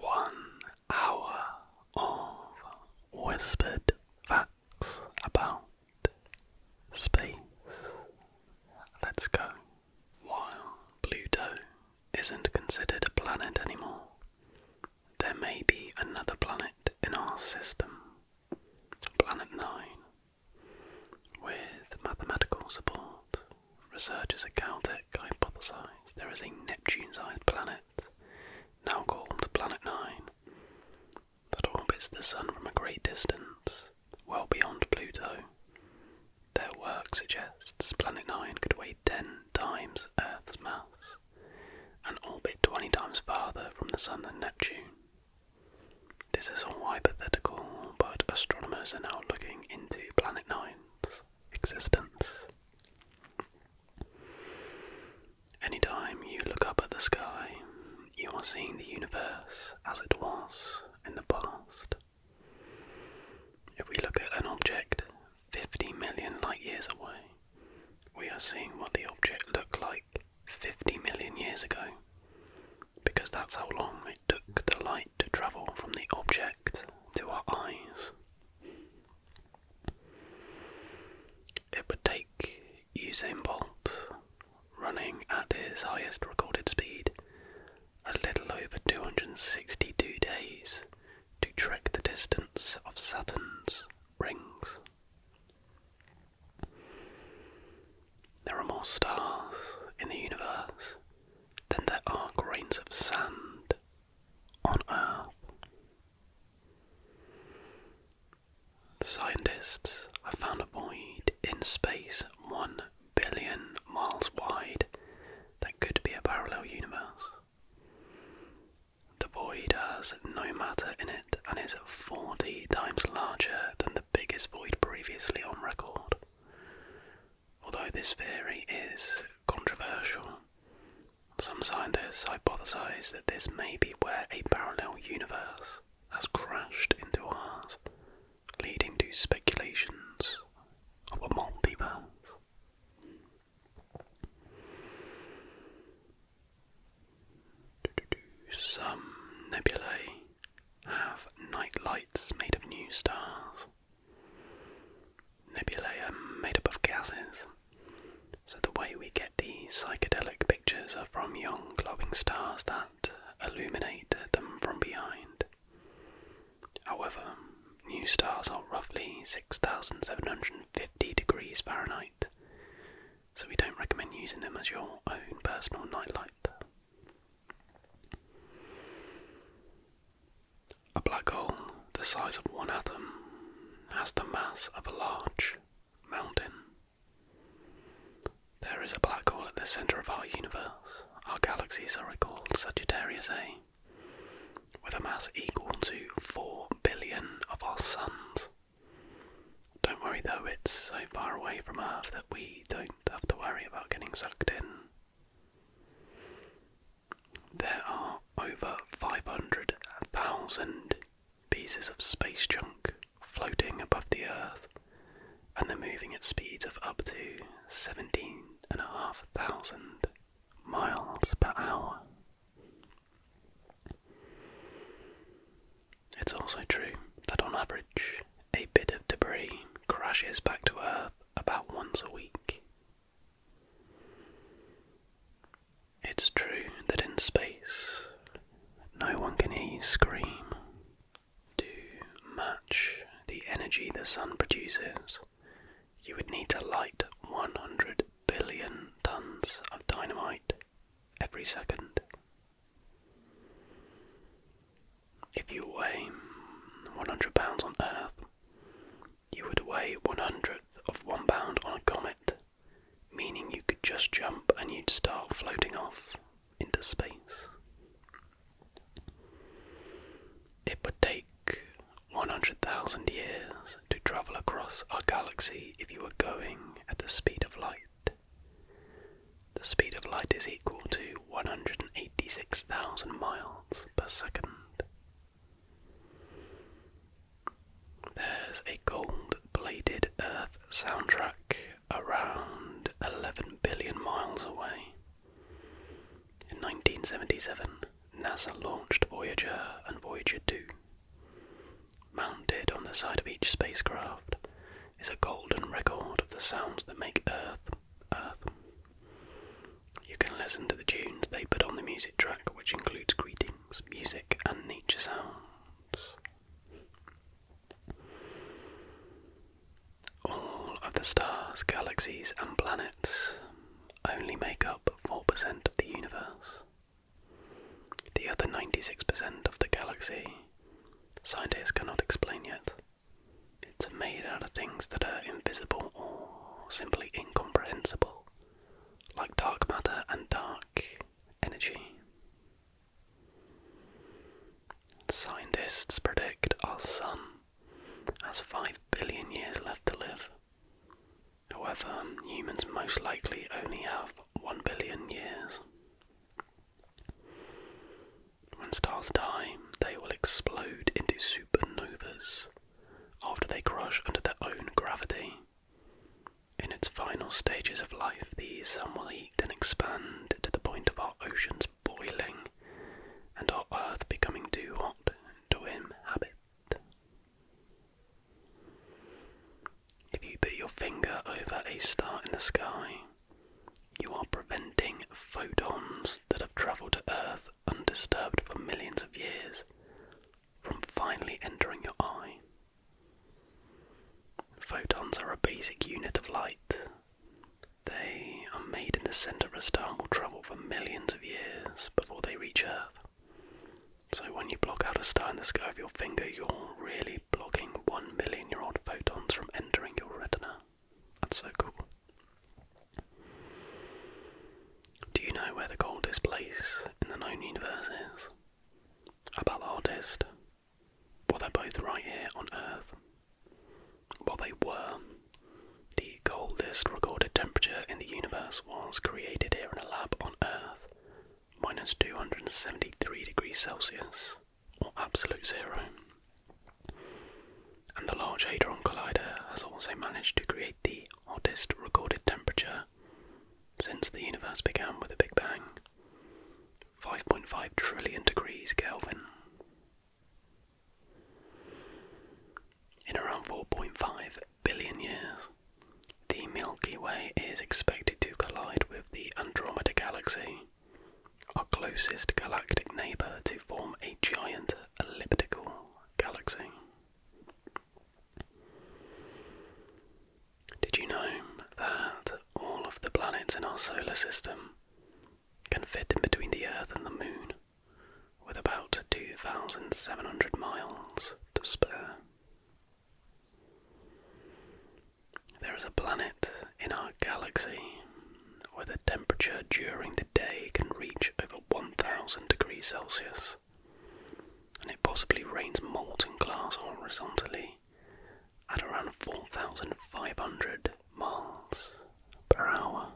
One hour of whispered facts about space. Let's go. While Pluto isn't considered a planet anymore, there may be another planet in our system, Planet 9. With mathematical support, researchers at Caltech hypothesized there is a Neptune sized planet, now called Planet 9, that orbits the Sun from a great distance, well beyond Pluto. Their work suggests Planet 9 could weigh 10 times Earth's mass and orbit 20 times farther from the Sun than Neptune. This is all hypothetical, but astronomers are now looking into Planet 9's existence. Anytime you look up at the sky, you are seeing the universe as it was in the past. If we look at an object 50 million light years away, we are seeing what the object looked like 50 million years ago, because that's how long it took the light to travel from the object to our eyes. It would take Usain Bolt running at his highest recorded speed a little over 262 days to trek the distance of Saturn's rings. There are more stars in the universe than there are grains of sand on Earth. Scientists have found a void in space one billion miles wide that could be a parallel universe. The void has no matter in it and is 40 times larger than the biggest void previously on record. Although this theory is controversial. Some scientists hypothesize that this may be where a parallel universe has crashed into ours, leading to speculations of a multiverse. Some nebulae have night lights made of new stars, Nebulae are made up of gases, so the way we get these psychedelic pictures are from young glowing stars that illuminate them from behind. However, new stars are roughly 6,750 degrees Fahrenheit, so we don't recommend using them as your own personal nightlight. A black hole the size of one atom has the mass of a large mountain. There is a black hole at the center of our universe. Our galaxies are called Sagittarius A, with a mass equal to 4 billion of our suns. Don't worry though, it's so far away from Earth that we don't have to worry about getting sucked in. There are over 500,000 pieces of space junk floating above the Earth, and they're moving at speeds of up to 17,500 miles per hour. It's also true that on average, a bit of debris crashes back to Earth about once a week, it's true that in space no one can hear you scream. To match the energy the sun produces, you would need to light 100 billion tons of dynamite every second. If you weigh 100 pounds on Earth, you would weigh one hundredth of one pound on a comet, meaning you could just jump and you'd start floating off into space. It would take 100,000 years to travel across our galaxy if you were going at the speed of light. The speed of light is equal to 186,000 miles per second. There's a gold bladed Earth soundtrack around 11 billion miles away. In 1977, NASA launched Voyager and Voyager 2. Mounted on the side of each spacecraft is a golden record of the sounds that make Earth, Earth. You can listen to the tunes they put on the music track, which includes greetings, music, and nature sounds. All of the stars, galaxies, and planets only make up 4% of the universe. The other 96% of the galaxy, scientists cannot explain yet. It's made out of things that are invisible or simply incomprehensible like dark matter and dark energy. Scientists predict our sun has 5 billion years left to live. However, humans most likely only have 1 billion years. When stars die, they will explode into supernovas, after they crush under their own gravity. In its final stages of life, the sun will heat and expand to the point of our oceans boiling and our earth becoming too hot to inhabit. If you put your finger over a star in the sky, you are preventing photons that have travelled to Earth undisturbed for millions of years from finally entering your eye. Photons are a basic unit of light. They are made in the center of a star and will travel for millions of years before they reach Earth. So when you block out a star in the sky with your finger, you're really blocking one million year old photons from entering your retina. That's so cool. Do you know where the coldest place in the known universe is? About the hottest? Well, they're both right here on Earth. Well, they were. The coldest recorded temperature in the universe was created here in a lab on Earth, minus 273 degrees Celsius, or absolute zero. And the Large Hadron Collider has also managed to create the hottest recorded temperature since the universe began with the Big Bang. 5.5 trillion degrees Kelvin. In around 4.5 billion years, the Milky Way is expected to collide with the Andromeda Galaxy, our closest galactic neighbour, to form a giant elliptical galaxy. Did you know that all of the planets in our solar system can fit in between the Earth and the Moon with about 2,700 miles to spare? There is a planet in our galaxy where the temperature during the day can reach over 1,000 degrees Celsius and it possibly rains molten glass horizontally at around 4,500 miles per hour.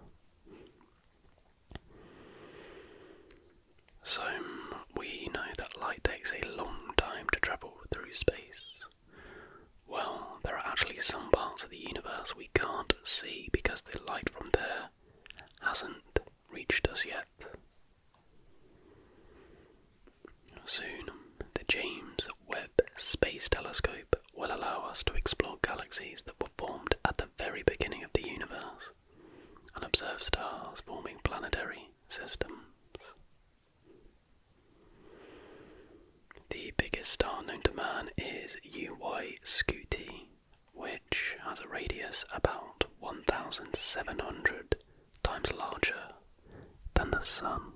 So, mm, we know that light takes a long time to travel through space. Well, there are actually some parts of the universe we can't see because the light from there hasn't reached us yet. Soon, the James Webb Space Telescope will allow us to explore galaxies that were formed at the very beginning of the universe and observe stars forming planetary systems. The biggest star known to man is UY Scuti, which has a radius about 1,700 times larger than the Sun.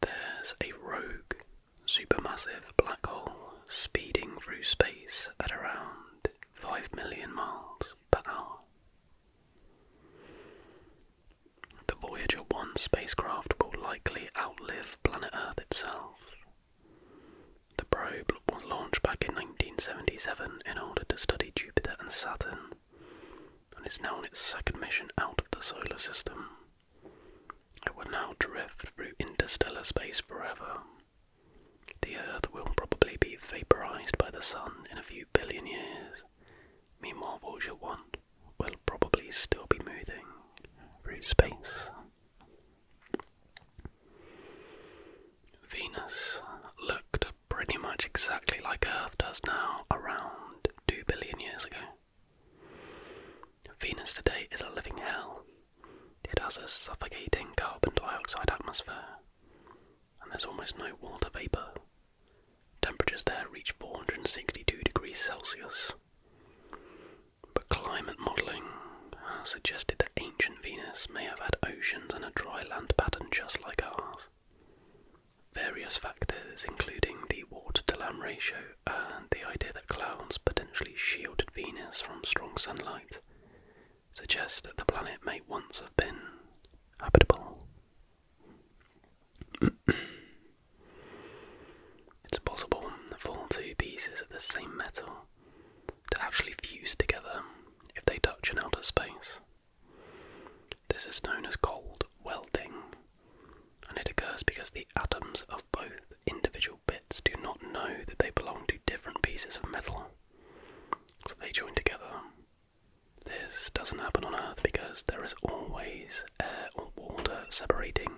There's a rogue supermassive black hole speeding through space at around 5 million miles per hour. The Voyager 1 spacecraft will likely outlive planet Earth itself the probe was launched back in 1977 in order to study Jupiter and Saturn, and is now on its second mission out of the solar system. It will now drift through interstellar space forever. The Earth will probably be vaporized by the sun in a few billion years. Meanwhile, Voyager 1 will probably still be moving through space. Venus looked pretty much exactly like Earth does now around 2 billion years ago. Venus today is a living hell. It has a suffocating carbon dioxide atmosphere, and there's almost no water vapour. Temperatures there reach 462 degrees Celsius but climate modelling has suggested that ancient Venus may have had oceans and a dry land pattern just like ours. Various factors, including the water to land ratio and the idea that clouds potentially shielded Venus from strong sunlight, suggest that the planet may once have been habitable. it's possible for two pieces of the same metal to actually fuse together if they touch in outer space. This is known as cold welding, and it occurs because the atoms of both individual bits do not know that they belong to different pieces of metal, so they join together. This doesn't happen on Earth because there is always air or water separating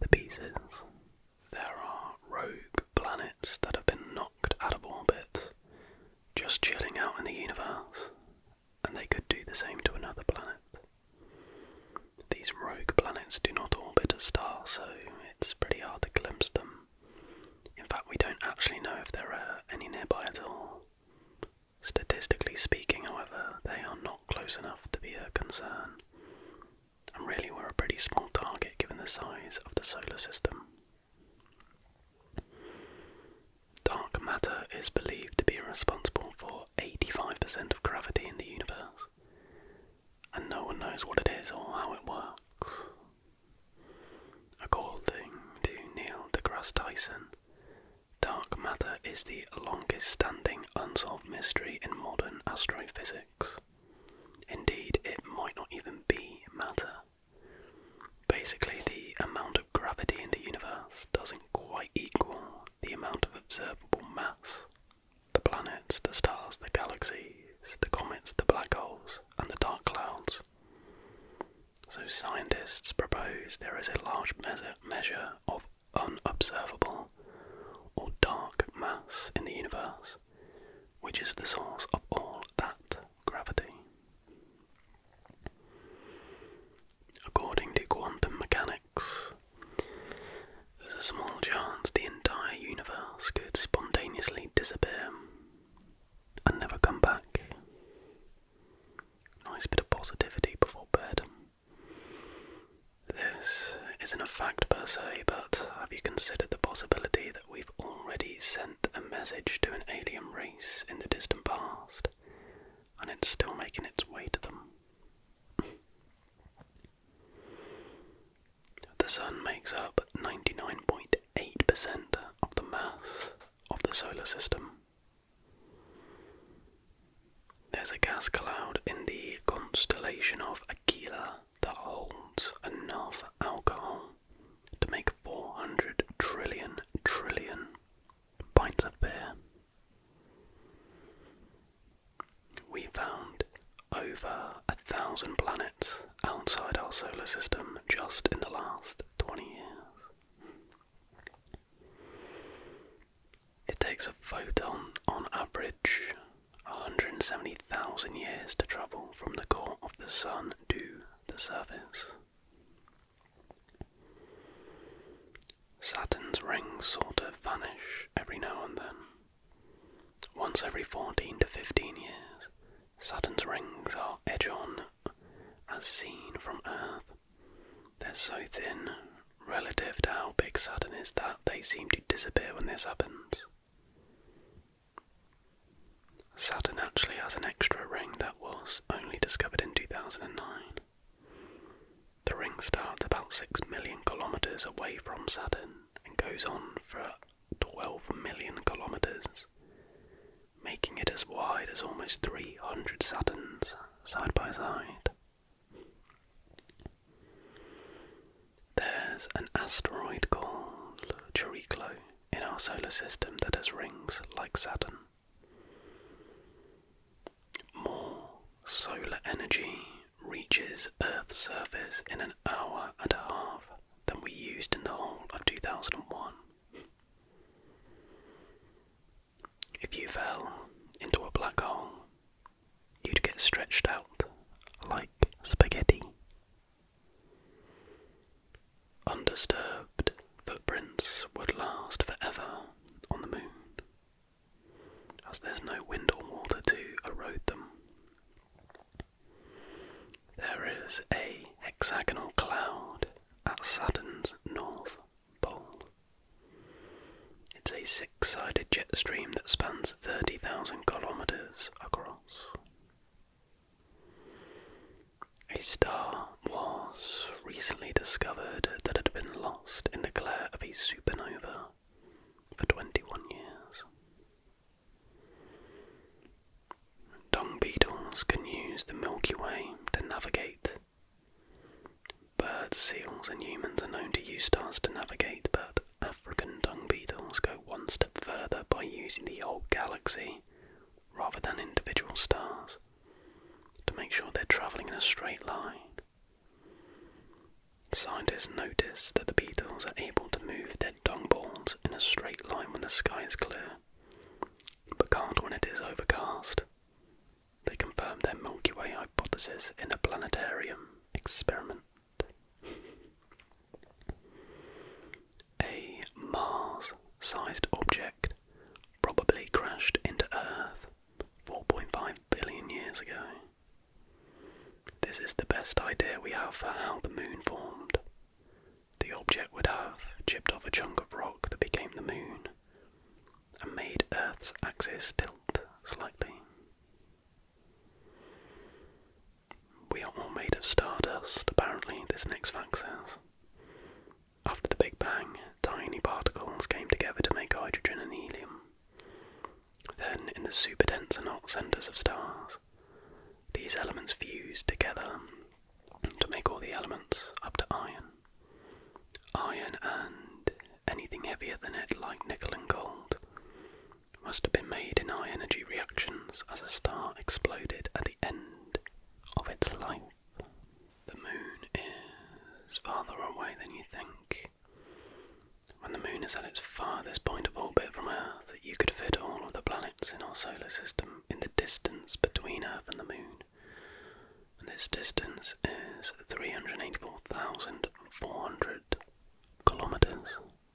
the pieces there are rogue planets that have been knocked out of orbit, just chilling out in the universe, and they could do the same to another planet. These rogue planets do not orbit a star, so it's pretty hard to glimpse them. In fact, we don't actually know if there are any nearby at all. Statistically speaking, however, they are not close enough to be a concern, and really we're a pretty small target given the size of the solar system. Dark matter is believed to be responsible for 85% of gravity in the universe, and no one knows what it is or how it works. According to Neil deGrasse Tyson, dark matter is the longest standing unsolved mystery in modern astrophysics. Indeed, it might not even be matter. Basically, the amount of gravity in the universe doesn't quite equal the amount of observable mass. The planets, the stars, the galaxies, the comets, the black holes, and the dark clouds. So, scientists propose there is a large measure of unobservable or dark mass in the universe which is the source of all that gravity. According to quantum mechanics, there's a small chance the entire universe could spontaneously disappear and never come back. Nice bit of positivity before bed. This isn't a fact per se, but have you considered the possibility that we've already sent a message to an alien race in the distant past, and it's still making its way to them? the Sun makes up 99.8% of the mass of the solar system. There's a gas cloud in the constellation of Aquila that holds enough alcohol to make 400 trillion trillion pints of beer. We found over a thousand planets outside our solar system just in the last 20 years. It takes a photon on average 170,000 years to travel from the core of the sun to the surface. Saturn's rings sort of vanish every now and then. Once every 14 to 15 years, Saturn's rings are edge on as seen from Earth. They're so thin relative to how big Saturn is that they seem to disappear when this happens. Saturn actually has an extra ring that was only discovered in 2009. The ring starts about 6 million kilometres away from Saturn and goes on for 12 million kilometres, making it as wide as almost 300 Saturns side by side. There's an asteroid called Chiriclo in our solar system that has rings like Saturn. More solar energy reaches Earth's surface in an hour and a half than we used in the whole of 2001. If you fell into a black hole, you'd get stretched out like spaghetti. Undisturbed footprints would last forever on the moon, as there's no wind or water to erode them. There is a hexagonal cloud at Saturn's north pole. It's a six sided jet stream that spans 30,000 kilometres across. A star was recently discovered that had been lost in the glare of a supernova for 21 years. Dung beetles can use the Milky Way to navigate. Bird seals and humans are known to use stars to navigate, but African dung beetles go one step further by using the whole galaxy rather than individual stars to make sure they're travelling in a straight line. Scientists noticed that the beetles are able to move their dung balls in a straight line when the sky is clear, but can't when it is overcast. They confirmed their Milky Way hypothesis in a planetarium experiment. A Mars sized object probably crashed into Earth 4.5 billion years ago. This is the best idea we have for how the moon formed. The object would have chipped off a chunk of rock that became the moon and made Earth's axis tilt slightly. We are all made of stardust, apparently, this next fact says. After the Big Bang, tiny particles came together to make hydrogen and helium. Then, in the superdense and hot centers of stars, these elements fused together to make all the elements up to iron. Iron and anything heavier than it, like nickel and gold must have been made in high energy reactions as a star exploded at the end of its life. The moon is farther away than you think. When the moon is at its farthest point of orbit from Earth, you could fit all of the planets in our solar system in the distance between Earth and the moon. this distance is 384,400 kilometers.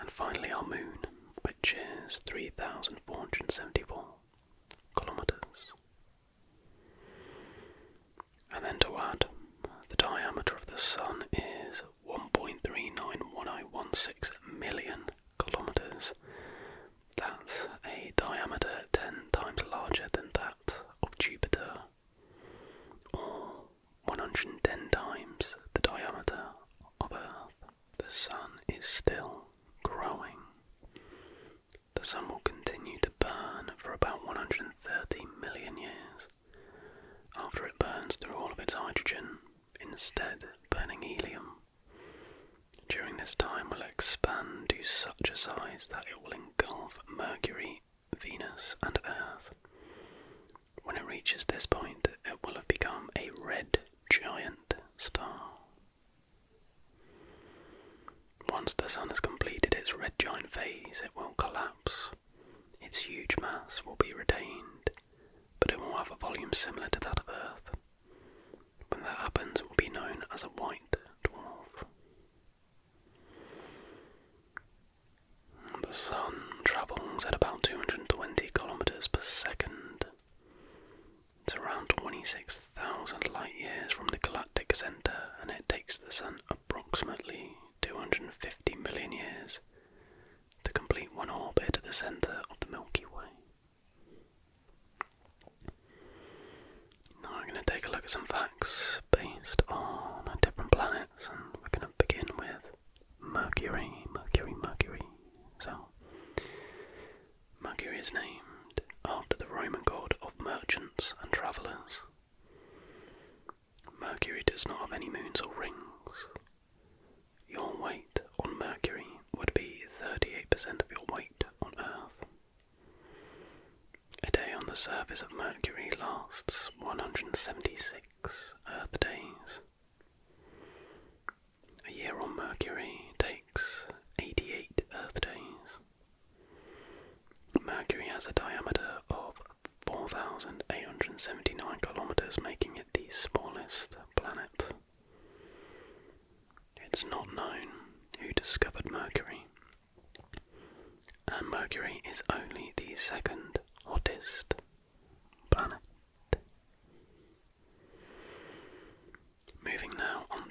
And finally, our moon, which is 3,474 kilometers. And then to add, the diameter of the sun is 1.391016 million kilometers. That's a diameter 10 times larger than that of Jupiter or 110 times the diameter of Earth. The sun is still growing. The sun will continue to burn for about 130 million years after it burns through all of its hydrogen, instead burning helium. During this time, will expand to such a size that it will engulf Mercury Venus and Earth. When it reaches this point, it will have become a red giant star. Once the Sun has completed its red giant phase, it will collapse. Its huge mass will be retained, but it will have a volume similar to that of Earth. When that happens, it will be known as a white dwarf. The sun travels at about 220 kilometers per second. It's around 26,000 light years from the galactic center, and it takes the sun approximately 250 million years to complete one orbit at the center of the Milky Way. Now I'm going to take a look at some facts based on different planets, and we're going to begin with Mercury, Mercury, Mercury. So, Mercury is named after the Roman god of merchants and travellers. Mercury does not have any moons or rings. Your weight on Mercury would be 38% of your weight on Earth. A day on the surface of Mercury lasts 176 Earth uh, days. A year on Mercury takes 88 Earth days. Mercury has a diameter of 4,879 kilometers, making it the smallest planet. It's not known who discovered Mercury, and Mercury is only the second hottest planet. Moving now on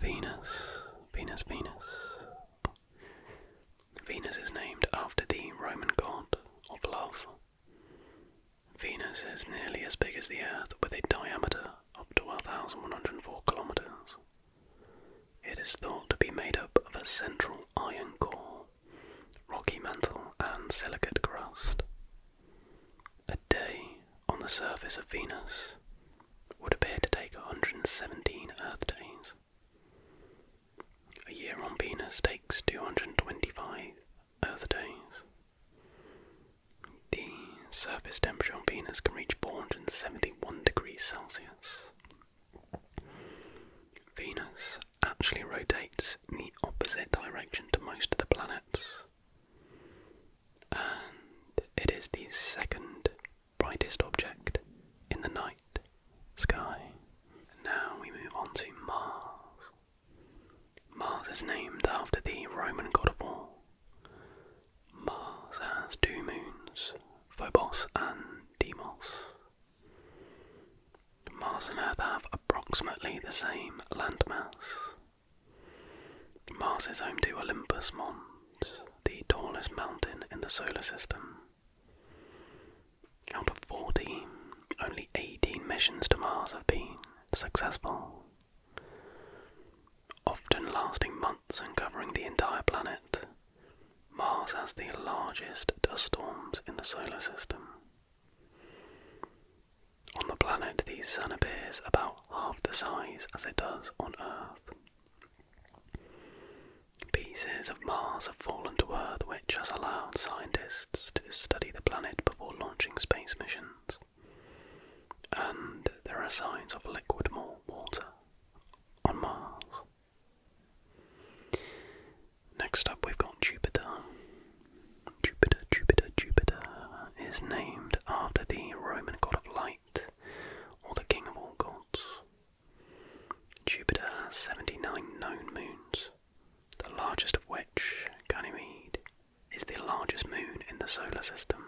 Venus. Venus, Venus. Venus is named after the Roman god of love. Venus is nearly as big as the Earth with a diameter of 12,104 kilometers. It is thought to be made up of a central iron core rocky mantle, and silicate crust. A day on the surface of Venus would appear to take 117 Earth days. A year on Venus takes 225 Earth days. The surface temperature on Venus can reach 471 degrees Celsius Venus actually rotates in the opposite direction to most of the planets, and it is the second brightest object in the night sky. Now we move on to Mars. Mars is named after the Roman god of war. Mars has two moons, Phobos and Deimos. Mars and Earth have approximately the same land mass. Mars is home to Olympus Mons, the tallest mountain in the solar system. Out of 14, only 18 missions to Mars have been successful, often lasting months and covering the entire planet. Mars has the largest dust storms in the solar system. On the planet, the Sun appears about half the size as it does on Earth. Pieces of Mars have fallen to Earth, which has allowed scientists to study the planet before launching space missions. And there are signs of liquid water on Mars. Next up, we've got Jupiter. Jupiter, Jupiter, Jupiter is named after the Roman god of light, or the king of all gods. Jupiter has 79 known moons, the largest of which, Ganymede, is the largest moon in the solar system.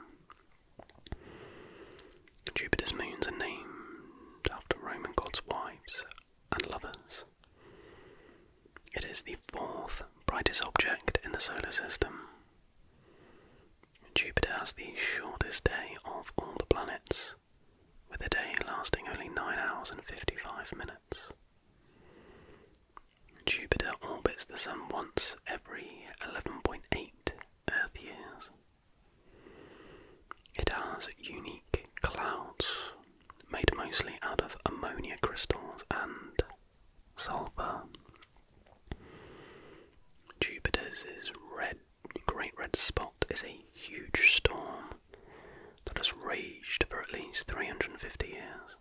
Jupiter's moons are named after Roman gods' wives and lovers. It is the fourth brightest object in the solar system. Jupiter has the shortest day of all the planets, with a day lasting only 9 hours and 55 minutes. Jupiter orbits the Sun once every 11.8 Earth years. It has unique clouds made mostly out of ammonia crystals and sulfur. Jupiter's red, great red spot is a huge storm that has raged for at least 350 years.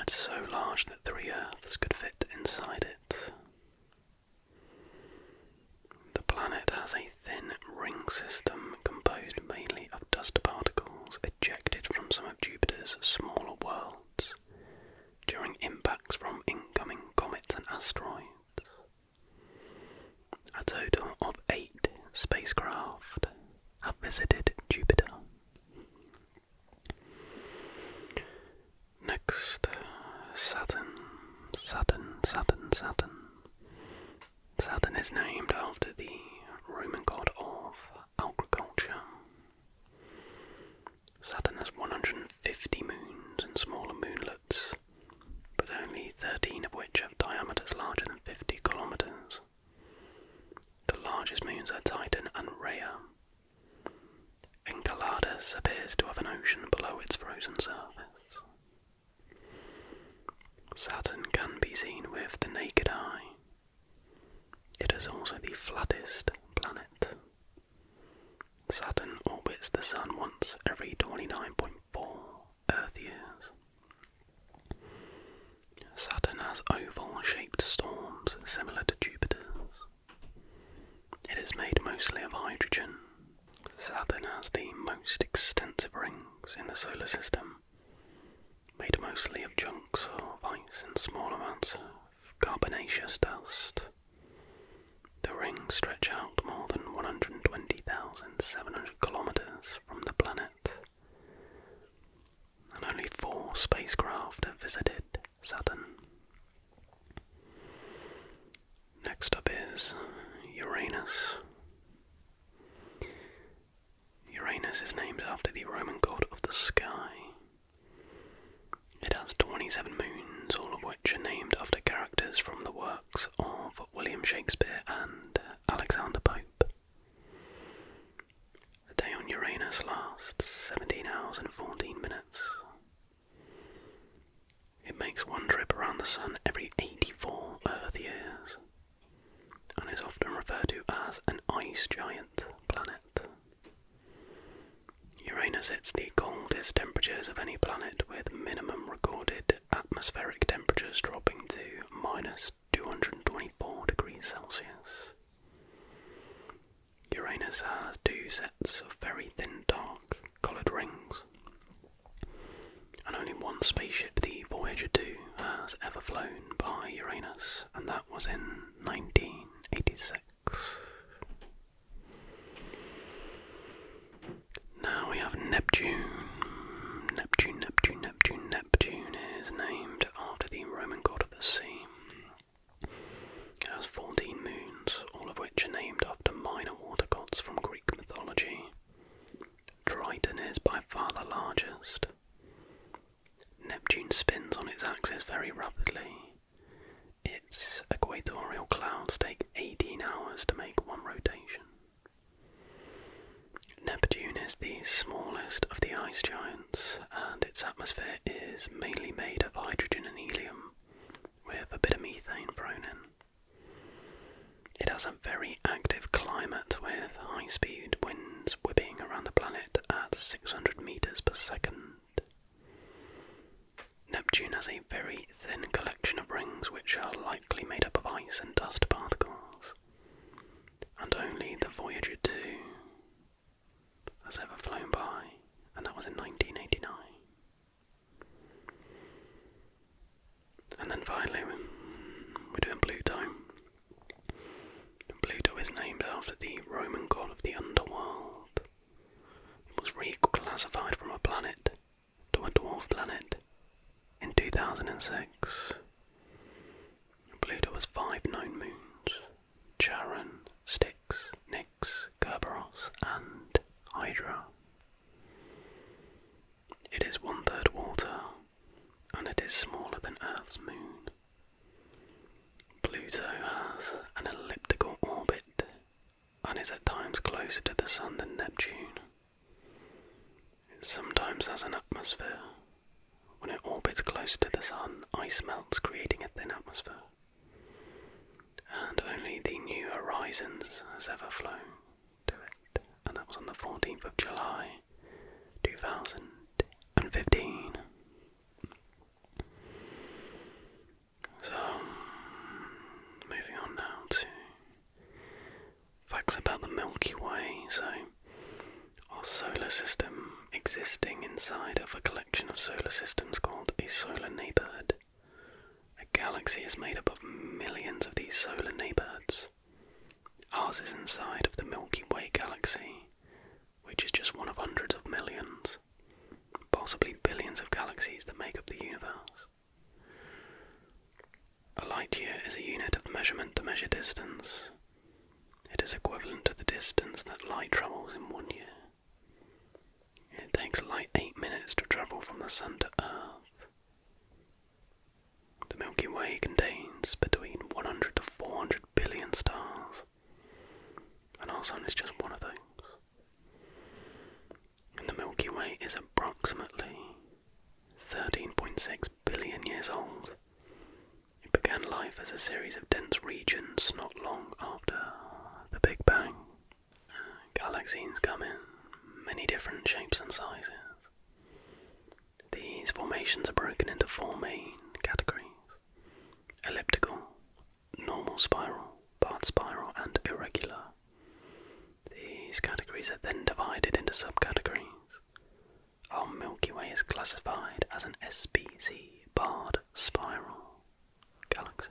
It's so large that three Earths could fit inside it. The planet has a a thin ring system composed mainly of dust particles ejected from some of Jupiter's smaller worlds during impacts from incoming comets and asteroids. A total of eight spacecraft have visited Jupiter. Next, Saturn, Saturn, Saturn, Saturn. Saturn is named after the Roman god of agriculture. Saturn has 150 moons and smaller moonlets, but only 13 of which have diameters larger than 50 kilometers. The largest moons are Titan and Rhea. Enceladus appears to have an ocean below its frozen surface. Saturn can be seen with the naked eye. It is also the flattest planet. Saturn orbits the Sun once every 29.4 Earth years. Saturn has oval shaped storms similar to Jupiter's. It is made mostly of hydrogen. Saturn has the most extensive rings in the solar system, made mostly of chunks of ice and small amounts of carbonaceous dust. The rings stretch out more than 120,700 kilometers from the planet, and only four spacecraft have visited Saturn. Next up is Uranus. Uranus is named after the Roman god of the sky. It has 27 moons, all of which are named after characters from the works of William Shakespeare and Alexander Pope. A day on Uranus lasts 17 hours and 14 minutes. It makes one trip around the sun every 84 Earth years and is often referred to as an ice giant planet. Uranus hits the coldest temperatures of any planet, with minimum recorded atmospheric temperatures dropping to minus 224 degrees Celsius. Uranus has two sets of very thin dark coloured rings, and only one spaceship, the Voyager 2, has ever flown by Uranus, and that was in 1986. Now we have Neptune. Neptune, Neptune, Neptune, Neptune is named after the Roman god of the sea. It has 14 moons, all of which are named after minor water gods from Greek mythology. Triton is by far the largest. Neptune spins on its axis very rapidly. Its equatorial clouds take 18 hours to make one rotation. Neptune is the smallest of the ice giants, and its atmosphere is mainly made of hydrogen and helium, with a bit of methane thrown in. It has a very active climate with high speed winds whipping around the planet at 600 meters per second. Neptune has a very thin collection of rings which are likely made up of ice and dust particles. And only the Voyager 2 has ever flown by, and that was in 1989. And then finally, we're doing Pluto. And Pluto is named after the Roman god of the underworld. It was reclassified from a planet to a dwarf planet in 2006. Pluto has five known moons Charon, Styx, Nix, Kerberos, and Hydra. It is one third water, and it is smaller than Earth's moon. Pluto has an elliptical orbit and is at times closer to the Sun than Neptune. It sometimes has an atmosphere. When it orbits closer to the Sun, ice melts, creating a thin atmosphere. And only the New Horizons has ever flown to it, and that was on the 14th of July 2015. So, moving on now to facts about the Milky Way. So, our solar system existing inside of a collection of solar systems called a solar neighborhood. A galaxy is made up of millions of these solar neighborhoods. Ours is inside of the Milky Way galaxy, which is just one of hundreds of millions, possibly billions of galaxies that make up the universe. A light year is a unit of measurement to measure distance. It is equivalent to the distance that light travels in one year. It takes light 8 minutes to travel from the Sun to Earth. The Milky Way contains between 100 to 400 billion stars, and our Sun is just one of those. the Milky Way is approximately 13.6 billion years old. It began life as a series of dense regions not long after the Big Bang. Galaxies come in many different shapes and sizes. These formations are broken into four main categories elliptical, normal spiral, part spiral, and irregular. These categories are then divided into subcategories. Our Milky Way is classified as an SBC barred spiral galaxy.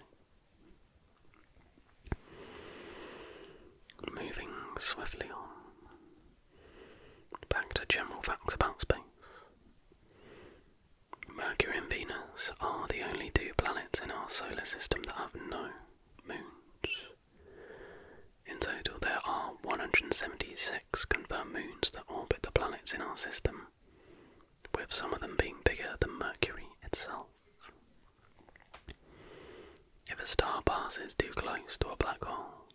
Moving swiftly on, Back to general facts about space. Mercury and Venus are the only two planets in our solar system that have no moons. In total, there are 176 confirmed moons that orbit the planets in our system, with some of them being bigger than Mercury itself. If a star passes too close to a black hole,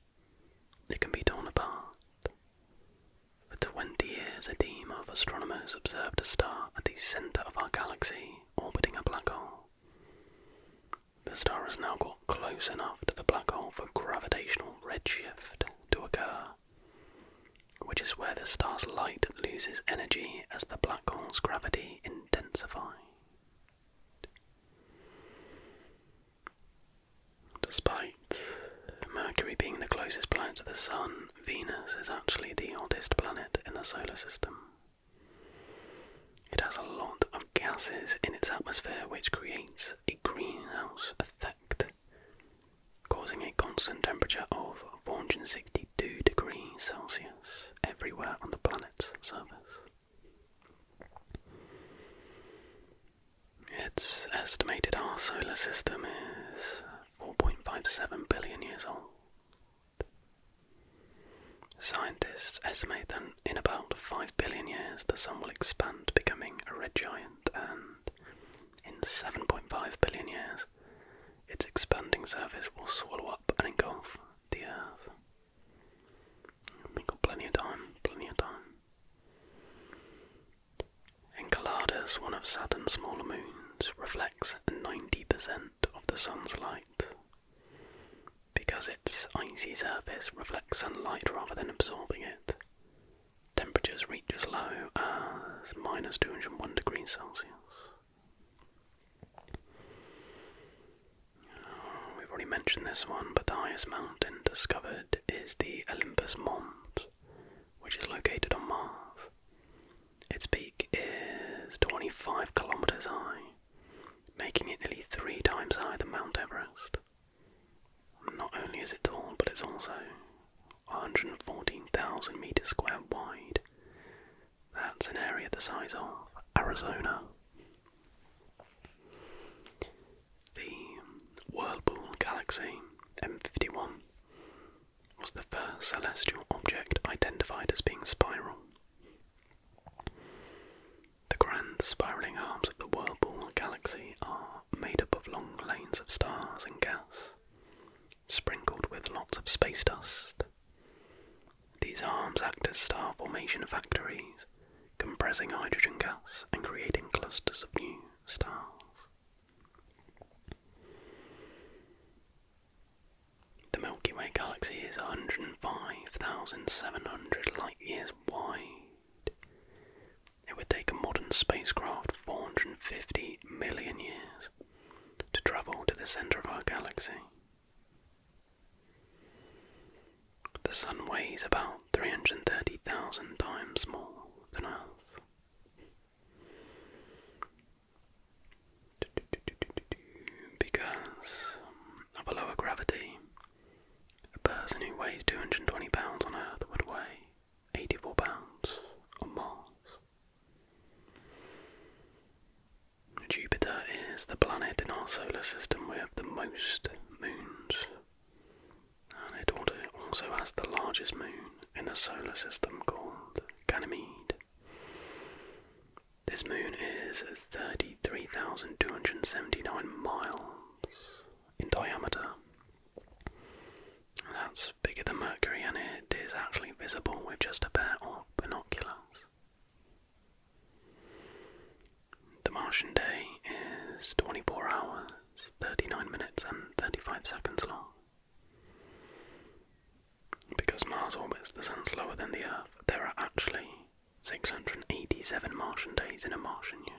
it can be torn apart. For 20 years, a team of astronomers observed a star at the center of our galaxy orbiting a black hole. The star has now got close enough to the black hole for gravitational redshift to occur, which is where the star's light loses energy as the black hole's gravity intensifies. Despite Mercury being the closest planet to the Sun, Venus is actually the oldest planet in the solar system. It has a lot of gases in its atmosphere, which creates a greenhouse effect, causing a constant temperature of 462 degrees Celsius everywhere on the planet's surface. Its estimated our solar system is 4.57 billion years old. Scientists estimate that in about 5 billion years the Sun will expand, becoming a red giant, and in 7.5 billion years, its expanding surface will swallow up and engulf the Earth. We've got plenty of time, plenty of time. Enceladus, one of Saturn's smaller moons, reflects 90% of the sun's light. Because its icy surface reflects sunlight rather than absorbing it, temperatures reach as low as minus 201 degrees Celsius. We've already mentioned this one, but the highest mountain discovered is the Olympus Mons, which is located on Mars. Its peak is 25 kilometers high, making it nearly three times higher than Mount Everest. Not only is it tall, but it's also 114,000 meters square wide. That's an area the size of Arizona. The Whirlpool Galaxy M51 was the first celestial object identified as being spiral. The grand spiraling arms of the Whirlpool Galaxy are made up of long lanes of stars and gas, sprinkled with lots of space dust. These arms act as star formation factories compressing hydrogen gas and creating clusters of new stars. The Milky Way galaxy is 105,700 light years wide. It would take a modern spacecraft 450 million years to travel to the centre of our galaxy. The Sun weighs about 330,000 times more than Earth. Because of a lower gravity, a person who weighs 220 pounds on Earth would weigh 84 pounds on Mars. Jupiter is the planet in our solar system with the most moons and it also has the largest moon in the solar system called Ganymede. This moon is 33,279 miles in diameter. That's bigger than Mercury, and it is actually visible with just a pair of binoculars. The Martian day is 24 hours, 39 minutes, and 35 seconds long. Because Mars orbits the Sun slower than the Earth, there are actually 687 Martian days in a Martian year.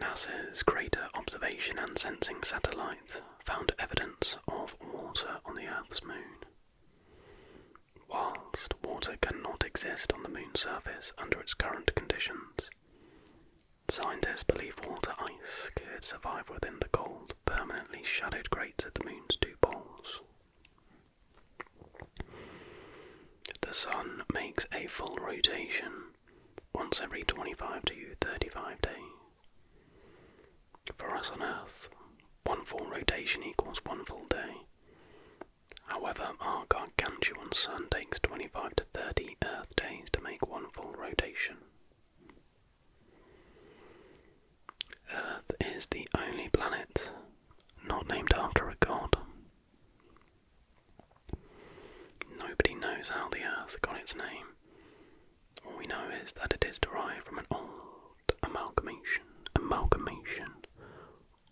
NASA's Crater Observation and Sensing satellites found evidence of water on the Earth's moon. Whilst water cannot exist on the moon's surface under its current conditions, scientists believe water ice could survive within the cold, permanently shadowed craters at the moon's two poles. The sun makes a full rotation once every 25 to 35 days. For us on Earth, one full rotation equals one full day, However, our gargantuan Sun takes 25 to 30 Earth days to make one full rotation. Earth is the only planet not named after a god. Nobody knows how the Earth got its name. All we know is that it is derived from an old amalgamation, amalgamation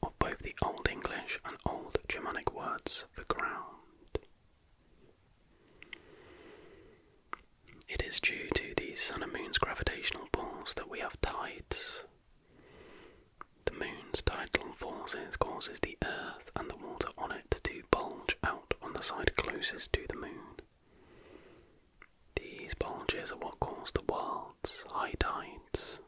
of both the Old English and Old Germanic words for ground. It is due to the Sun and Moon's gravitational pulls that we have tides. The Moon's tidal forces causes the Earth and the water on it to bulge out on the side closest to the Moon. These bulges are what cause the world's high tides.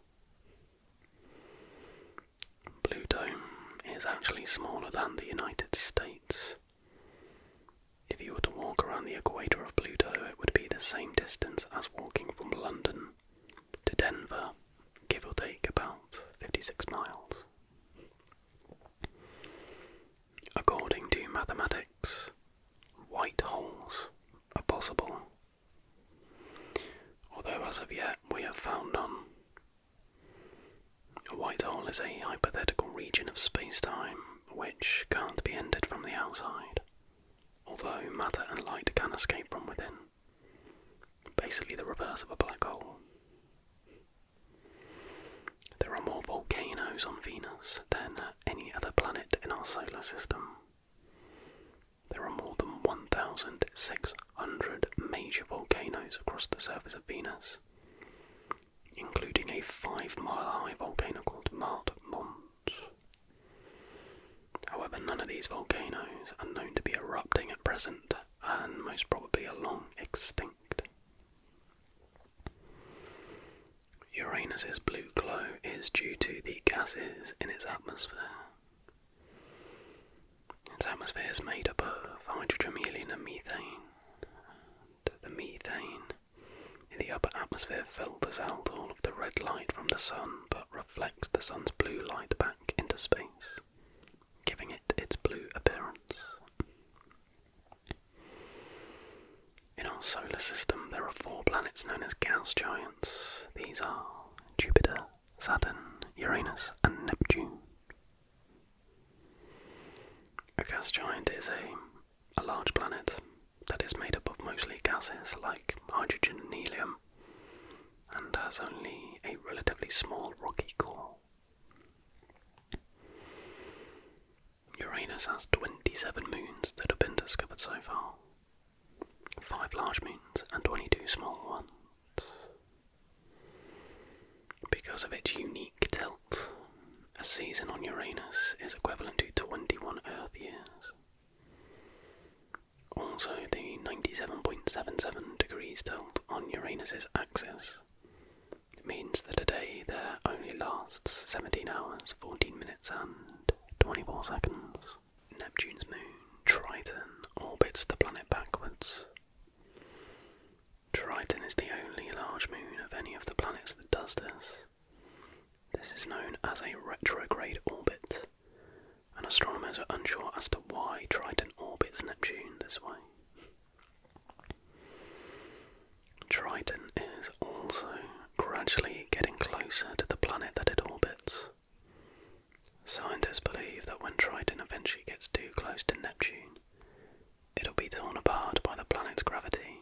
Pluto is actually smaller than the United States. If you were to walk around the equator of Pluto, it would be the same distance as walking from London to Denver, give or take about 56 miles. According to mathematics, white holes are possible Although, as of yet, we have found none. A white hole is a hypothetical region of space time which can't be entered from the outside, although matter and light can escape from within. Basically, the reverse of a black hole. There are more volcanoes on Venus than any other planet in our solar system. There are more than 1,600 major volcanoes across the surface of Venus, including a five mile high volcano called Mart Mons. However, none of these volcanoes are known to be erupting at present and most probably are long extinct. Uranus's blue glow is due to the gases in its atmosphere. Its atmosphere is made up of hydrogen, helium, and methane. the methane in the upper atmosphere filters out all of the red light from the sun but reflects the sun's blue light back into space, giving it its blue appearance. In our solar system, there are four planets known as gas giants, these are Jupiter, Saturn, Uranus, and Neptune. A gas giant is a, a large planet that is made up of mostly gases like hydrogen and helium and has only a relatively small rocky core. Uranus has 27 moons that have been discovered so far, 5 large moons and 22 small ones. Because of its unique tilt, a season on Uranus is equivalent to 21 Earth years. Also, the 97.77 degrees tilt on Uranus's axis means that a day there only lasts 17 hours, 14 minutes, and 24 seconds. Neptune's moon, Triton, orbits the planet backwards. Triton is the only large moon of any of the planets that does this. This is known as a retrograde orbit, and astronomers are unsure as to why Triton orbits Neptune this way. Triton is also gradually getting closer to the planet that it orbits. Scientists believe that when Triton eventually gets too close to Neptune, it'll be torn apart by the planet's gravity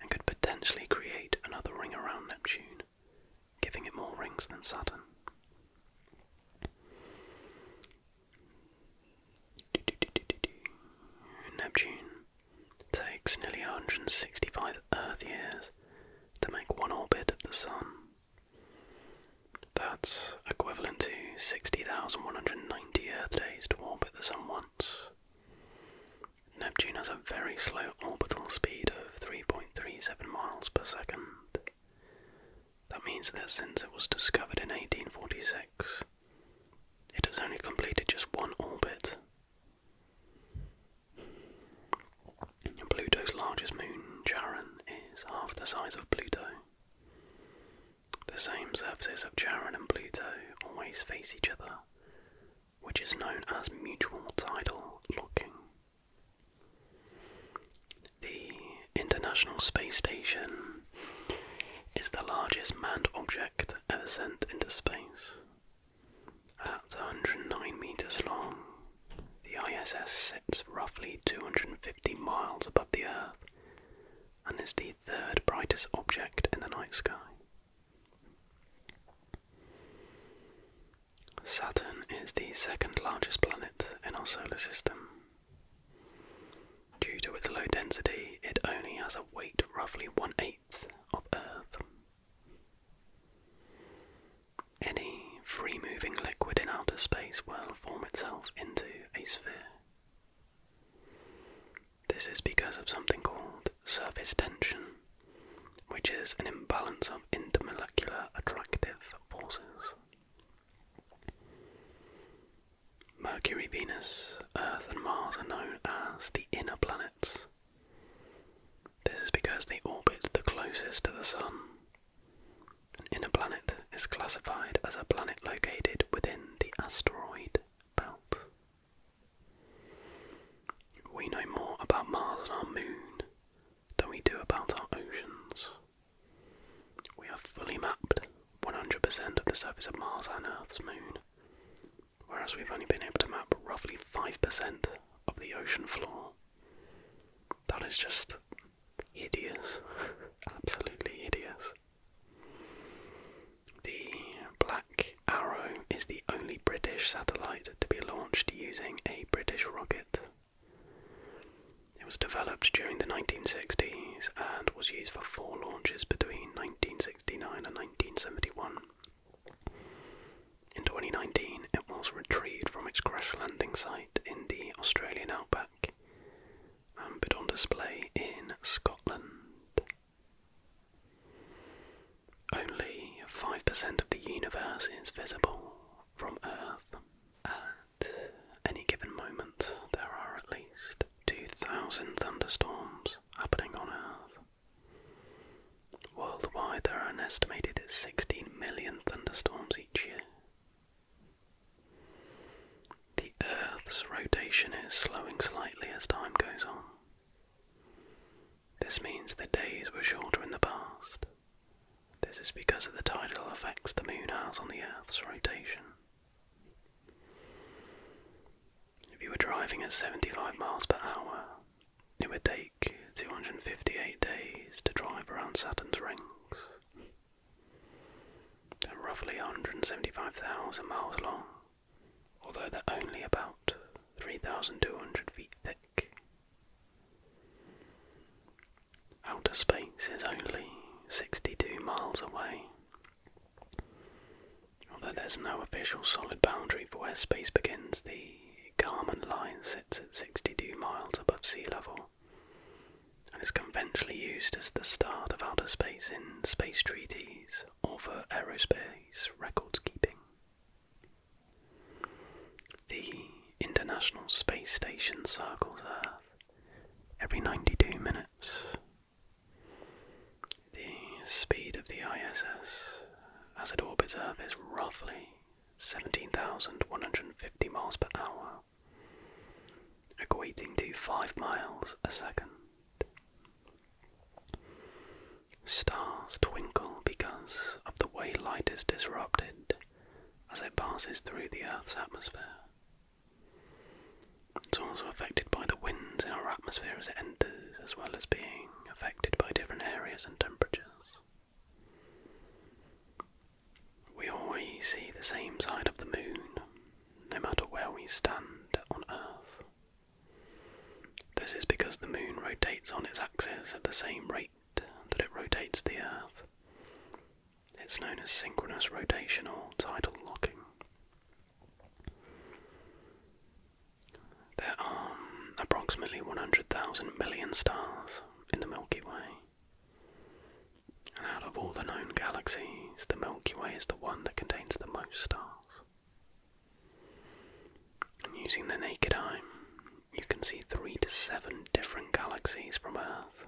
and could potentially create another ring around Neptune, giving it more rings than Saturn. Neptune takes nearly 165 Earth years to make one orbit of the Sun. That's equivalent to 60,190 Earth days to orbit the Sun once. Neptune has a very slow orbital speed of 3.37 miles per second. That means that since it was discovered in 1846, it has only completed just one orbit. Pluto's largest moon, Charon, is half the size of Pluto. The same surfaces of Charon and Pluto always face each other, which is known as mutual tidal locking. The International Space Station is the largest manned object ever sent into space at 109 meters long, the ISS sits roughly 250 miles above the Earth and is the third brightest object in the night sky. Saturn is the second largest planet in our solar system. Due to its low density, it only has a weight roughly one eighth of Earth any free moving liquid in outer space will form itself into a sphere. This is because of something called surface tension, which is an imbalance of intermolecular attractive forces. Mercury, Venus, Earth, and Mars are known as the inner planets, this is because the orbit the closest to the Sun. An inner planet is classified as a planet located within the asteroid belt. We know more about Mars and our moon than we do about our oceans. We have fully mapped 100% of the surface of Mars and Earth's moon, whereas we've only been able to map roughly 5% of the ocean floor. That is just hideous. Absolutely hideous. The Black Arrow is the only British satellite to be launched using a British rocket. It was developed during the 1960s and was used for four launches between 1969 and 1971. In 2019, it was retrieved from its crash landing site in the Australian outback and put on display in Scotland. Only 5% of the universe is visible from Earth. At any given moment, there are at least 2,000 thunderstorms happening on Earth. Worldwide, there are an estimated 16 million thunderstorms each year. The Earth's rotation is slowing slightly as time goes on. This means that days were shorter in the past. This is because of the tidal effects the moon has on the Earth's rotation. If you were driving at 75 miles per hour, it would take 258 days to drive around Saturn's rings, they're roughly 175,000 miles long, although they're only about 3,200 feet thick. Outer space is only 62 miles away. Although there's no official solid boundary for where space begins, the the Kármán line sits at 62 miles above sea level and is conventionally used as the start of outer space in space treaties or for aerospace record keeping. The International Space Station circles Earth every 92 minutes. The speed of the ISS as it orbits Earth is roughly 17,150 miles per hour, equating to 5 miles a second. Stars twinkle because of the way light is disrupted as it passes through the Earth's atmosphere. It's also affected by the winds in our atmosphere as it enters, as well as being affected by different areas and temperatures. We always see the same side of the moon, no matter where we stand on Earth. This is because the moon rotates on its axis at the same rate that it rotates the Earth. It's known as synchronous rotation or tidal locking. There are approximately 100,000 million stars in the Milky Way. And out of all the known galaxies, the Milky Way is the one that contains the most stars. And using the naked eye, you can see three to seven different galaxies from Earth.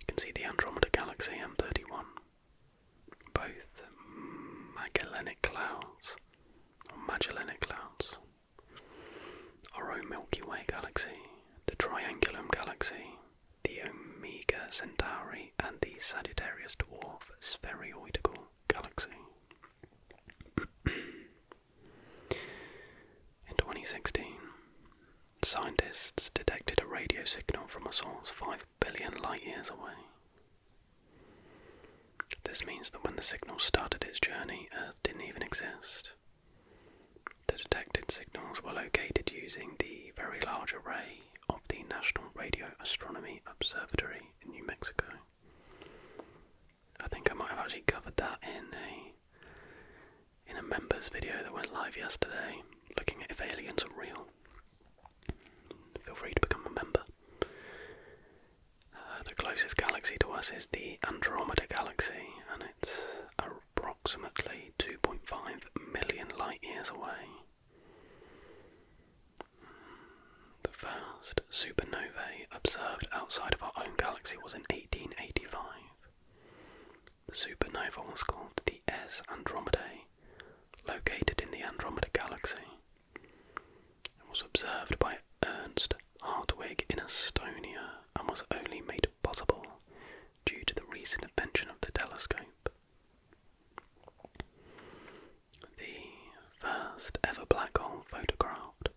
You can see the Andromeda Galaxy M31, both Magellanic Clouds, or Magellanic Clouds, our own Milky Way galaxy, the Triangulum galaxy, the Omega Centauri, and the Sagittarius dwarf spheroidal galaxy. In 2016, scientists detected a radio signal from a source 5 billion light years away. This means that when the signal started its journey, Earth didn't even exist. The detected signals were located using the Very Large Array of the National Radio Astronomy Observatory in New Mexico. I think I might actually covered that in a in a members video that went live yesterday, looking at if aliens are real. Feel free to become a member. Uh, the closest galaxy to us is the Andromeda Galaxy, and it's approximately 2.5 million light years away. The first supernovae observed outside of our own galaxy was in 1885. The supernova was called the S Andromeda, located in the Andromeda Galaxy and was observed by Ernst Hartwig in Estonia and was only made possible due to the recent invention of the telescope. The first ever black hole photographed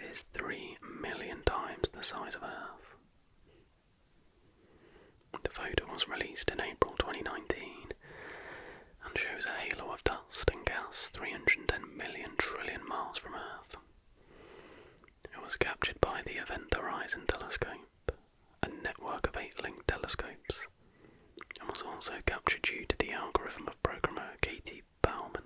is 3 million times the size of Earth. The photo was released in April 2019 and shows a halo of dust dust 310 million trillion miles from Earth. It was captured by the Event Horizon Telescope, a network of eight linked telescopes, and was also captured due to the algorithm of programmer Katie Bauman.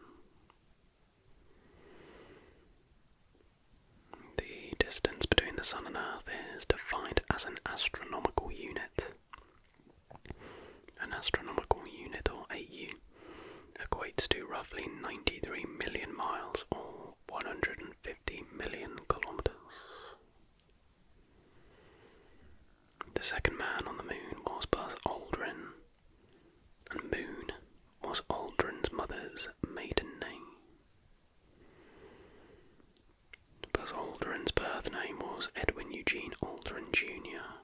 The distance between the Sun and Earth is defined as an astronomical unit, an astronomical unit, or AU, equates to roughly 93 million miles or 150 million kilometers. The second man on the moon was Buzz Aldrin, and Moon was Aldrin's mother's maiden name. Buzz Aldrin's birth name was Edwin Eugene Aldrin Jr.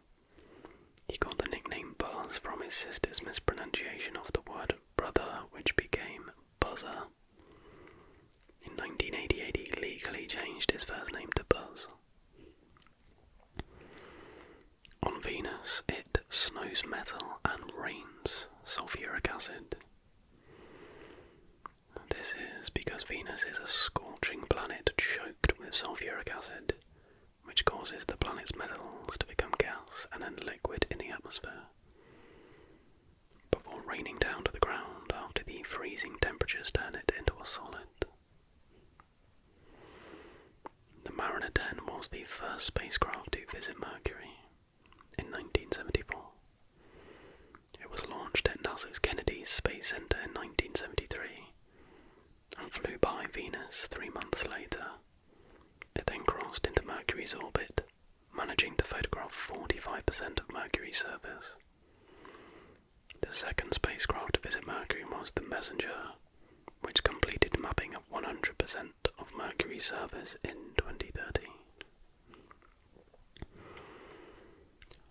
He got the nickname Buzz from his sister's mispronunciation of the word brother, which became Buzzer. In 1988, he legally changed his first name to Buzz. On Venus, it snows metal and rains sulfuric acid. This is because Venus is a scorching planet choked with sulfuric acid, which causes the planet's metals to become gas and then liquid in the atmosphere. Before raining down to the ground after the freezing temperatures turn it into a solid. The Mariner 10 was the first spacecraft to visit Mercury in 1974. It was launched at NASA's Kennedy Space Center in 1973 and flew by Venus three months later. It then crossed into Mercury's orbit, managing to photograph 45% of Mercury's surface. The second spacecraft to visit Mercury was the Messenger, which completed mapping of 100% of Mercury's surface in 2013.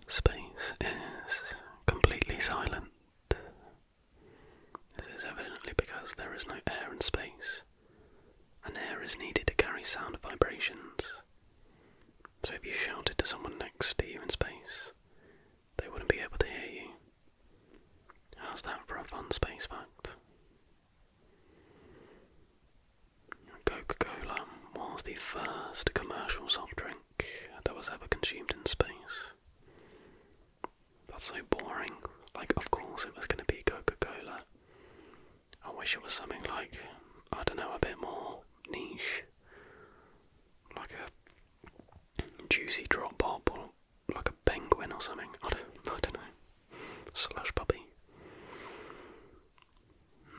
Space is completely silent this is evidently because there is no air in space, and air is needed to carry sound vibrations. So if you shouted to someone next to you in space, they wouldn't be able to hear you. How's that for a fun space fact? Coca-Cola was the first commercial soft drink that was ever consumed in space. That's so boring. Like, of course it was going to be Coca Cola. I wish it was something like, I don't know, a bit more niche. Like a juicy drop pop or like a penguin or something. I don't, I don't know. Slush puppy.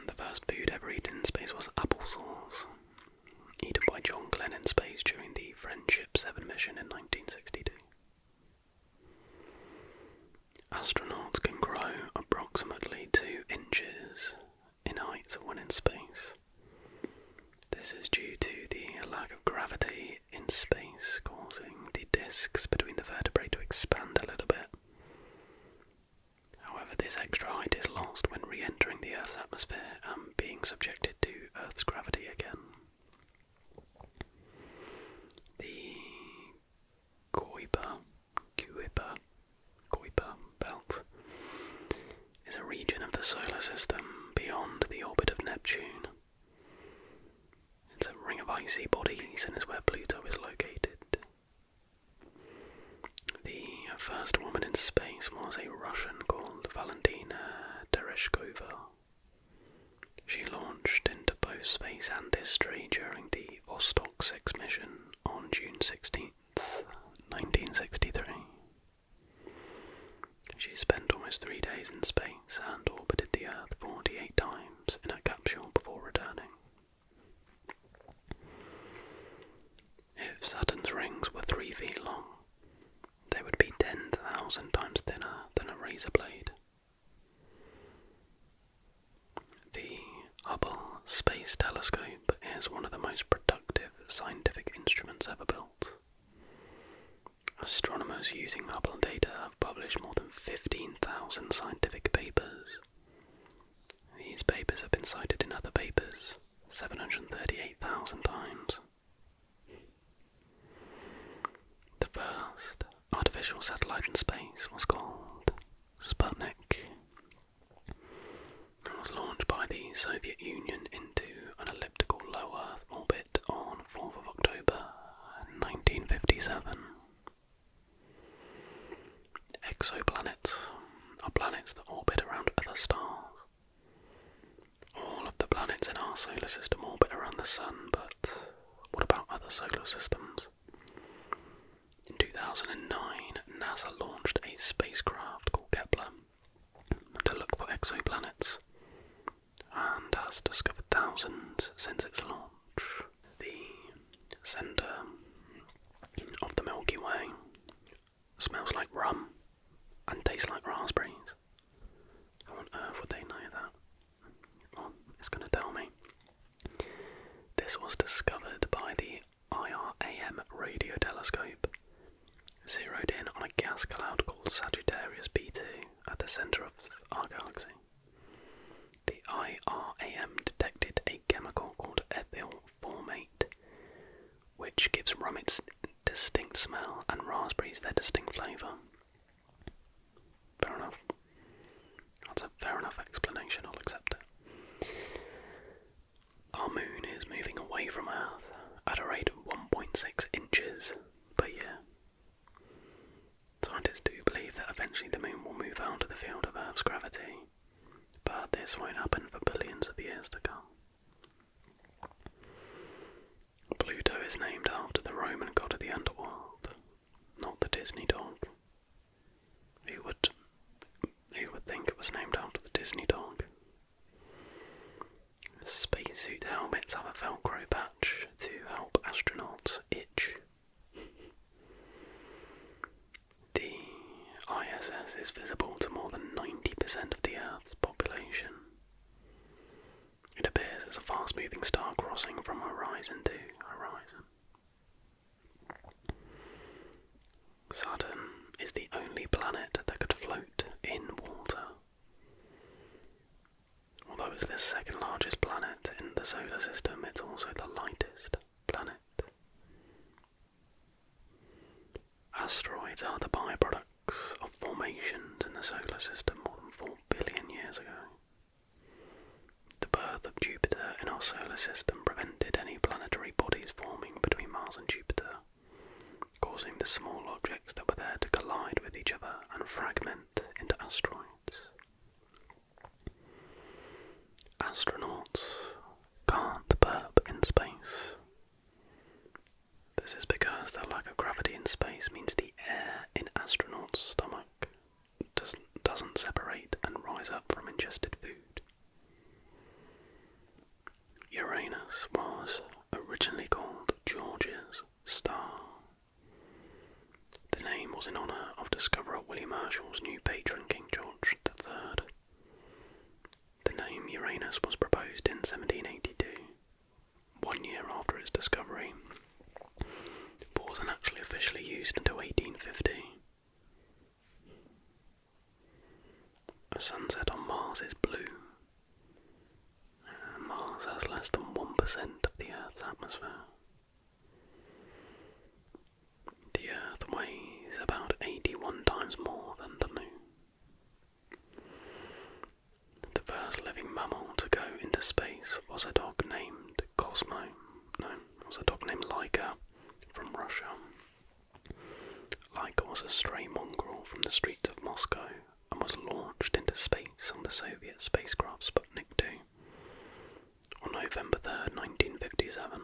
The first food ever eaten in space was applesauce eaten by John Glenn in space during the Friendship 7 mission in 1962. Astronauts can grow approximately 2 inches in height when in space. This is due to the lack of gravity in space, causing the discs between the vertebrae to expand a little bit. However, this extra height is lost when re entering the Earth's atmosphere and being subjected to Earth's gravity again. The Kuiper, Kuiper, Kuiper belt is a region of the solar system beyond the orbit of Neptune. It's a ring of icy bodies and is where Pluto is located. The first woman in space was a Russian called Valentina Tereshkova. She launched into both space and history during the Vostok 6 mission on June 16, 1963. She spent almost three days in space and orbited the Earth 48 times in her capsule before returning. If Saturn's rings were three feet long, they would be 10,000 times thinner than a razor blade. The Hubble Space Telescope is one of the most productive scientific instruments ever built. Astronomers using Hubble data have published more than 15,000 scientific papers. These papers have been cited in other papers 738,000 times. The first artificial satellite in space was called Sputnik and was launched by the Soviet Union into an elliptical low Earth orbit on 4th of October 1957. Exoplanets are planets that orbit around other stars all of the planets in our solar system orbit around the Sun, but what about other solar systems? In 2009, NASA launched a spacecraft called Kepler to look for exoplanets and has discovered thousands since its launch. The center of the Milky Way smells like rum and tastes like raspberries. on earth would they know that? Well, it's going to tell me. This was discovered by the IRAM radio telescope, zeroed in on a gas cloud called Sagittarius B2 at the centre of our galaxy. The IRAM detected a chemical called ethyl formate, which gives rum its distinct smell and raspberries their distinct flavour. Fair enough. That's a fair enough explanation, I'll accept it. Our moon is moving away from Earth at a rate of 1.6 inches per year. Scientists do believe that eventually the moon will move out of the field of Earth's gravity, but this won't happen for billions of years to come. Pluto is named after the Roman god of the underworld, not the Disney dog. Who would who would think it was named after the Disney dog? Spacesuit helmets have a velcro patch to help astronauts itch. the ISS is visible to more than 90% of the Earth's population. It appears as a fast moving star crossing from horizon to horizon. Saturn is the only planet that could float in water. Although it's the second largest planet in the solar system, it's also the lightest planet. Asteroids are the byproduct of formations in the solar system more than 4 billion years ago. The birth of Jupiter in our solar system prevented any planetary bodies forming between Mars and Jupiter, causing the small objects that were there to collide with each other and fragment into asteroids. Astronauts can't burp in space. This is because the lack of gravity in space means the air in astronauts' stomach doesn't, doesn't separate and rise up from ingested food. Uranus was originally called George's Star. The name was in honour of discoverer William Herschel's new patron, King George III. The name Uranus was proposed in 1782 one year after its discovery, but was actually officially used until 1850. A sunset on Mars is blue. Uh, Mars has less than 1% of the Earth's atmosphere. The Earth weighs about 81 times more than the Moon. The first living mammal to go into space was a dog named Cosmo. No, was a dog named Laika from Russia. Laika was a stray mongrel from the streets of Moscow and was launched into space on the Soviet spacecraft Sputnik 2 on November third, 1957.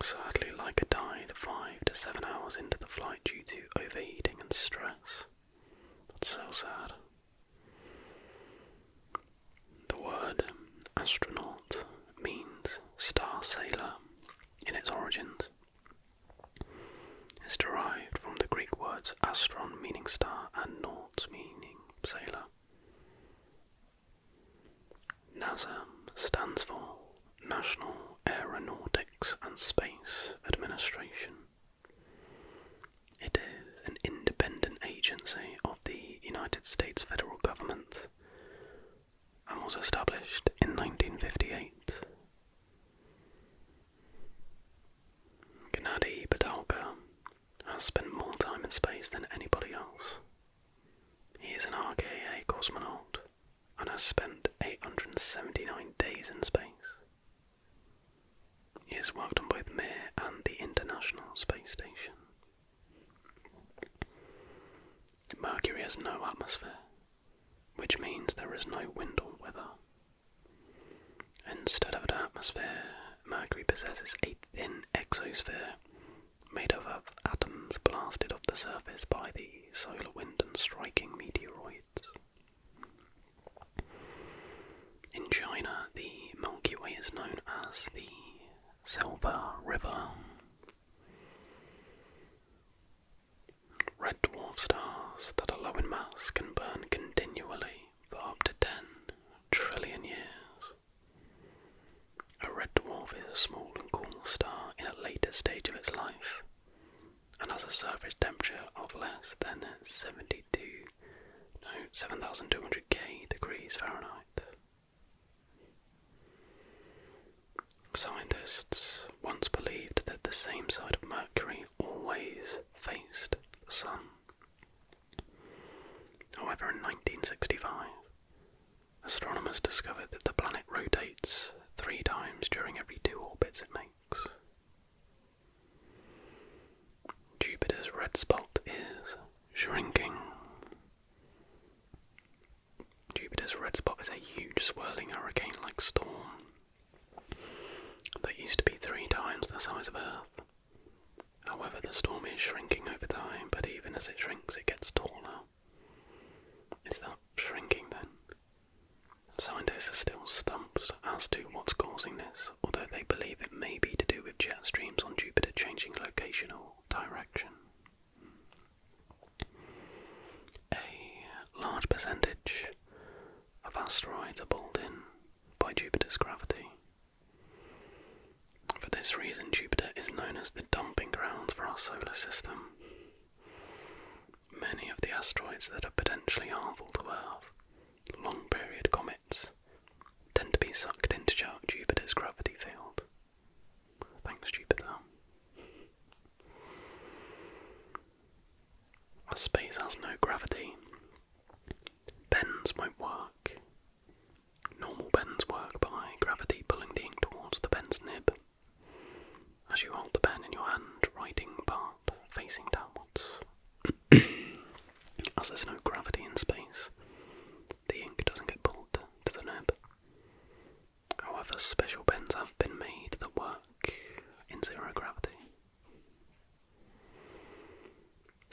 Sadly, Laika died five to seven hours into the flight due to overheating and stress so sad. The word astronaut means star sailor in its origins. It's derived from the Greek words astron meaning star and naut meaning sailor. NASA stands for National Aeronautic and Space Administration. It is an independent agency of the United States federal government and was established in 1958. Gennady Padalka has spent more time in space than anybody else. He is an RKA cosmonaut and has spent 879 days in space. He has worked on both Mir and the International Space Station. Mercury has no atmosphere, which means there is no wind or weather. Instead of an atmosphere, Mercury possesses a thin exosphere made up of atoms blasted off the surface by the solar wind and striking meteoroids. In China, the Milky Way is known as the Silver River. Red dwarf stars that are low in mass can burn continually for up to 10 trillion years. A red dwarf is a small and cool star in a later stage of its life, and has a surface temperature of less than 72, no, 7,200 K degrees Fahrenheit. Scientists once believed that the same side of Mercury always faced the Sun. However, in 1965, astronomers discovered that the planet rotates three times during every two orbits it makes. Jupiter's red spot is shrinking. Jupiter's red spot is a huge swirling hurricane like storm that used to be three times the size of Earth. However, the storm is shrinking over time, but even as it shrinks, it gets taller. Is that shrinking then? Scientists are still stumped as to what's causing this, although they believe it may be to do with jet streams on Jupiter changing location or direction. A large percentage of asteroids are pulled in by Jupiter's gravity. For this reason, Jupiter is known as the dumping grounds for our solar system. Many of the asteroids that are potentially harmful to Earth, long period comets, tend to be sucked into Jupiter's gravity field. Thanks, Jupiter. space has no gravity, bends won't work. Normal bends work by gravity pulling the ink towards the bend's nib as you hold the pen in your hand, writing part facing downwards. as there's no gravity in space, the ink doesn't get pulled to the nib. However, special pens have been made that work in zero gravity.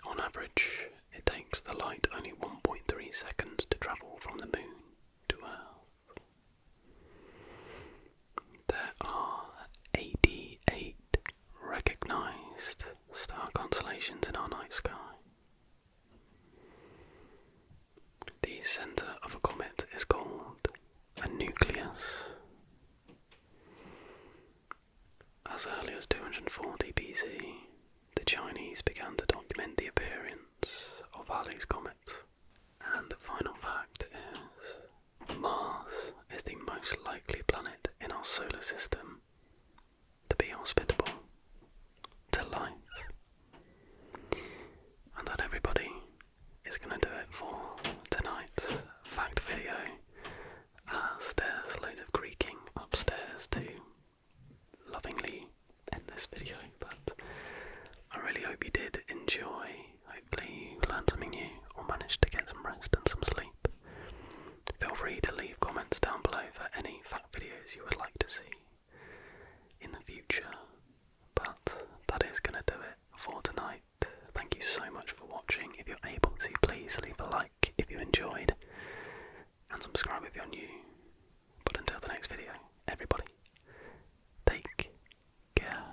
On average, it takes the light only 1.3 seconds to travel from the moon to Earth. There are 88 recognized star constellations in our night sky. The center of a comet is called a nucleus. As early as 240 BC, the Chinese began to document the appearance of Halley's Comet and the final fact is Mars is the most likely planet in our solar system to be hospitable to life. And that everybody is going to do it for tonight's fact video there's loads of creaking upstairs to lovingly end this video. But I really hope you did enjoy Hopefully, you learned something new or managed to get some rest and some sleep. Feel free to leave comments down below for any fact videos you would like to see in the future. But that is going to do it for tonight. Thank you so much for watching. If you're able to, please leave a like if you enjoyed and subscribe if you're new. But until the next video, everybody, take care.